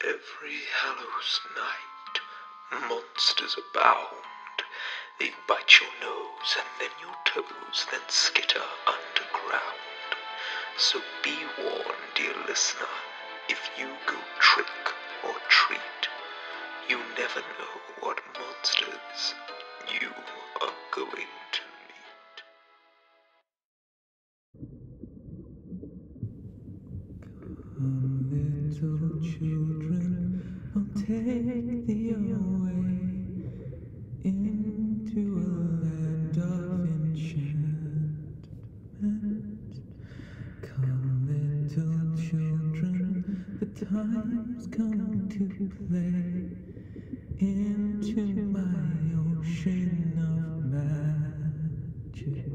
Every Hallows night, monsters abound. They bite your nose and then your toes, then skitter underground. So be warned, dear listener, if you go trick or treat, you never know what monsters you are going to. meet. Come, little children, I'll take you away into a land of enchantment. Come, little children, the time's come to play into my ocean of magic.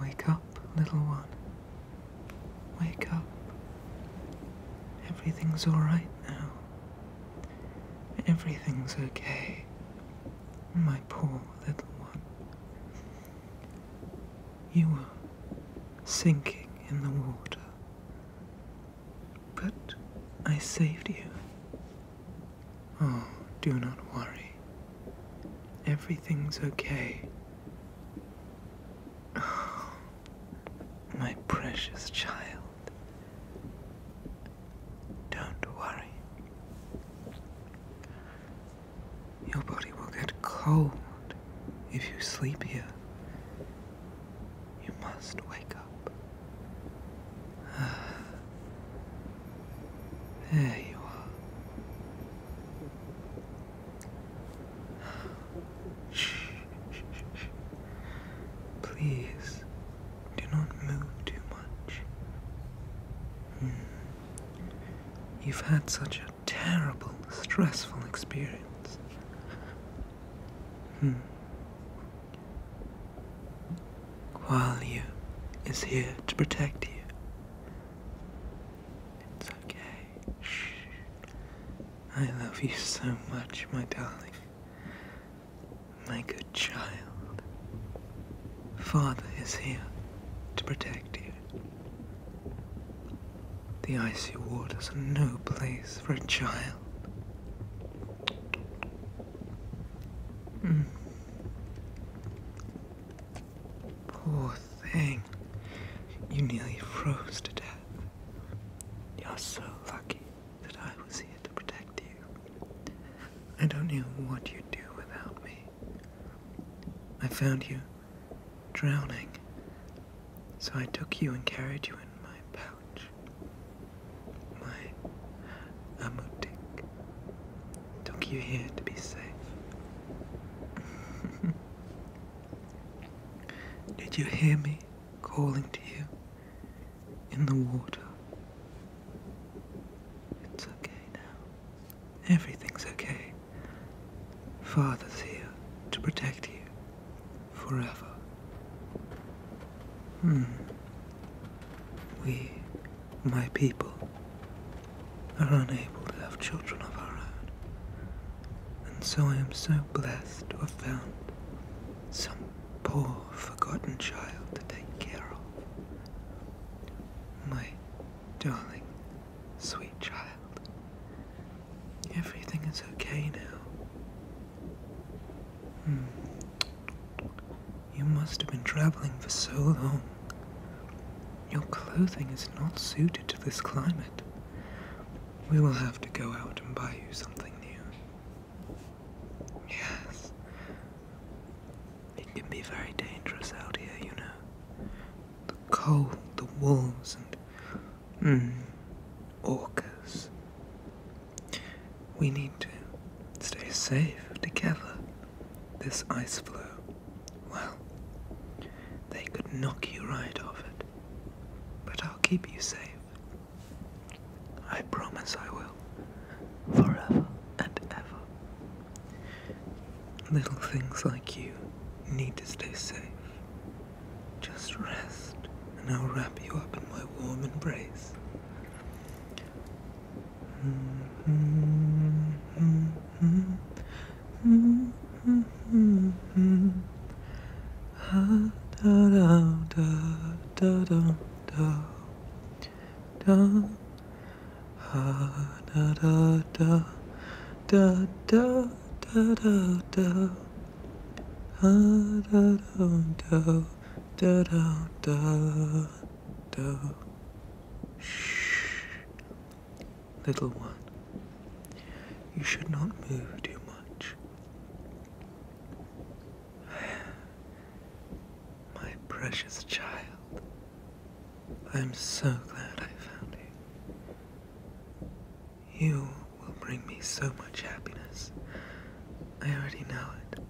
Wake up, little one. Wake up. Everything's alright now. Everything's okay. My poor little one. You were sinking in the water. But I saved you. Oh, do not worry. Everything's okay. Oh, my precious child. Don't worry. Your body will get cold if you sleep here, you must wake up. Ah, there you are. Shh, shh, shh. Please do not move too much. Hmm. You've had such a terrible, stressful experience. While hmm. you is here to protect you. It's okay. Shh. I love you so much, my darling. My good child. Father is here to protect you. The icy waters are no place for a child. Mm. Poor thing. You nearly froze to death. You're so lucky that I was here to protect you. I don't know what you'd do without me. I found you drowning, so I took you and carried you in my pouch, my amutik. Took you here to be safe. Did you hear me calling to you in the water? It's okay now. Everything's okay. Father's here to protect you forever. Hmm. We, my people, are unable to have children of our own, and so I am so blessed to have found some poor, forgotten child to take care of. My darling, sweet child, Everything is okay now. Hmm. You must have been traveling for so long. Your clothing is not suited to this climate. We will have to go out and buy you something new. Yes. It can be very dangerous out here, you know. The cold, the wolves, and Hmm. Orcas. We need to stay safe together. This ice floe, well, they could knock you right off it. But I'll keep you safe. I promise I will. Forever and ever. Little things like you need to stay safe. Just rest, and I'll wrap you up in my warm embrace da, da, da, da, da, da, da. Shh. Little one, you should not move too much. My precious child, I'm so glad I found you. You will bring me so much happiness. I already know it.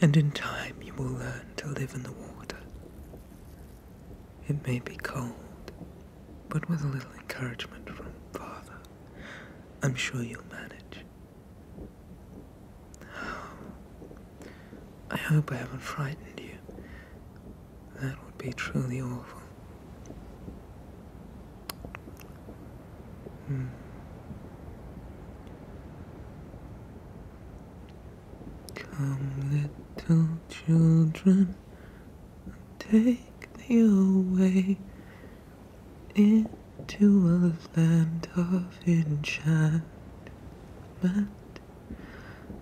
And in time you will learn to live in the water. It may be cold, but with a little encouragement from Father, I'm sure you'll manage. I hope I haven't frightened you. That would be truly awful. Hmm. Come, little children, take me way into a land of enchantment.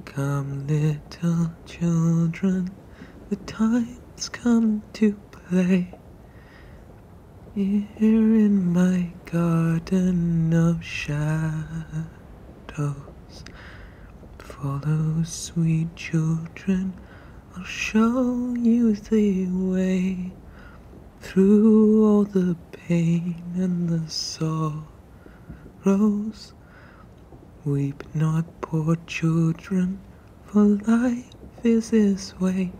Come, little children, the time it's come to play here in my garden of shadows. Follow, sweet children, I'll show you the way through all the pain and the sorrows. Weep not, poor children for life is this way,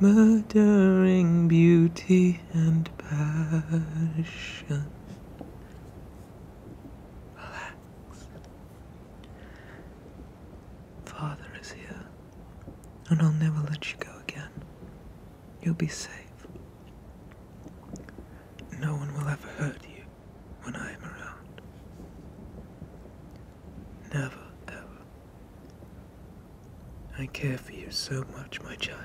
murdering beauty and passion. Relax. Father is here, and I'll never let you go again. You'll be safe. No one will ever hurt you when I am around. Never, ever. I care for you so much, my child.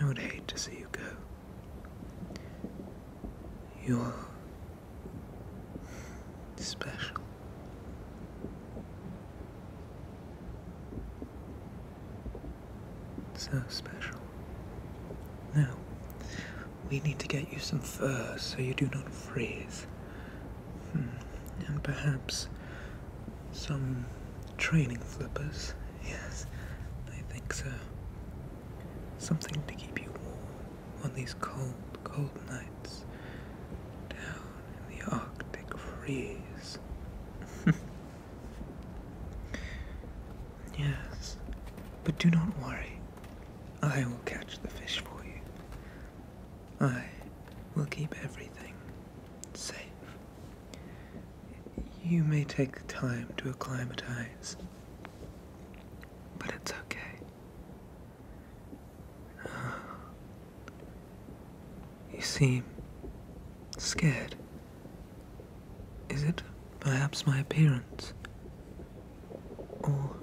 I would hate to see you go. You are special. So special. Now, we need to get you some fur so you do not freeze. Hmm, and perhaps some training flippers. Yes, I think so. Something to keep you warm on these cold, cold nights down in the Arctic freeze. yes, but do not worry. I will catch the fish for you. I will keep everything safe. You may take time to acclimatize, but it's okay. You seem scared. Is it perhaps my appearance? Or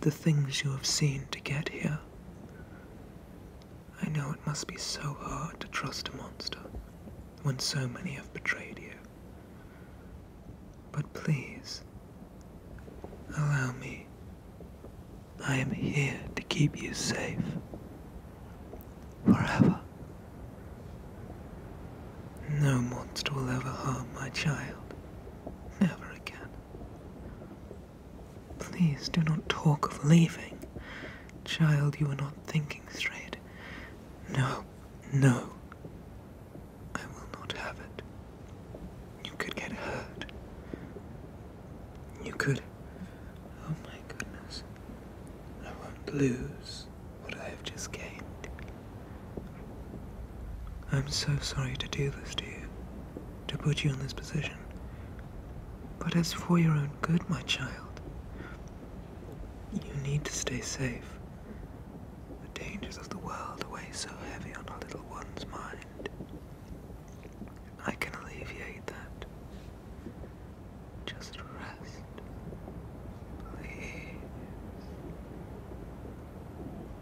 the things you have seen to get here? I know it must be so hard to trust a monster when so many have betrayed you. But please, allow me. I am here to keep you safe. Forever. No monster will ever harm my child. Never again. Please do not talk of leaving. Child, you are not thinking straight. No, no. I will not have it. You could get hurt. You could. Oh my goodness. I won't lose what I have just gained. I'm so sorry to do this to you, to put you in this position. But as for your own good, my child. You need to stay safe. The dangers of the world weigh so heavy on our little one's mind. I can alleviate that. Just rest. Please.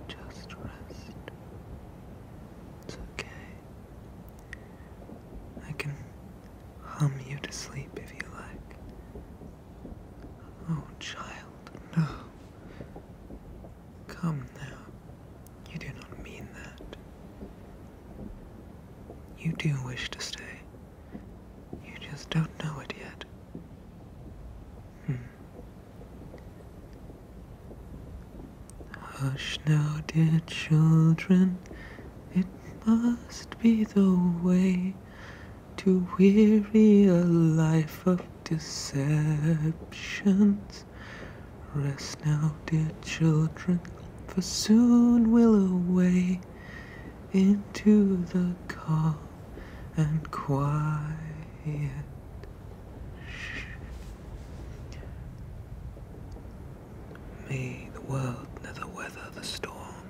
Just rest. It's okay. I can hum you to sleep if you like. Oh, child, no. Come now. You do not mean that. You do wish to stay, you just don't know it yet. Hmm. Hush now, dear children, it must be the way to weary a life of deceptions. Rest now, dear children, for soon will away into the calm and quiet. May the world never weather the storm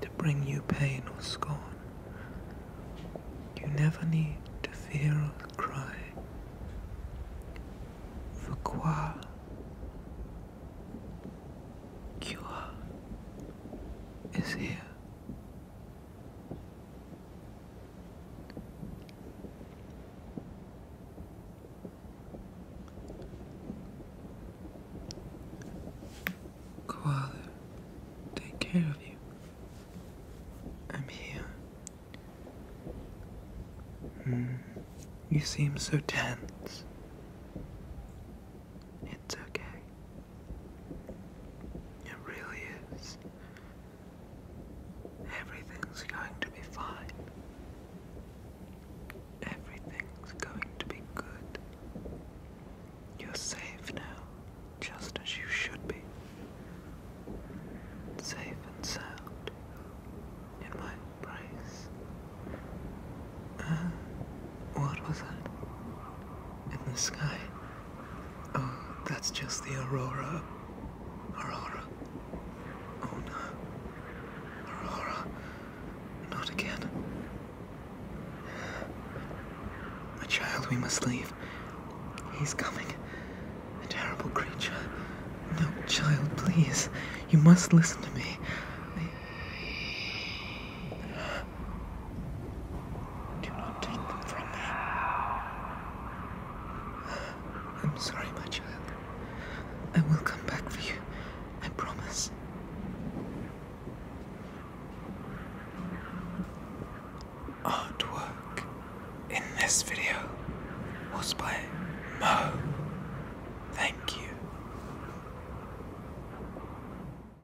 to bring you pain or scorn. You never need to fear or cry. For quoi cure is here. Koala, take care of you. I'm here. Mm, you seem so tense. It's okay. It really is. Everything's going to be fine. Everything's going to be good. You're safe now, just as you should be. Safe and sound in my embrace. Uh, what was that? in the sky. Oh, that's just the aurora. Aurora. Oh no. Aurora. Not again. My child, we must leave. He's coming. A terrible creature. No, child, please. You must listen to me. Do not take them from me. I'm sorry, my child. I will come back for you. I promise. Artwork in this video was by Mo. Thank you.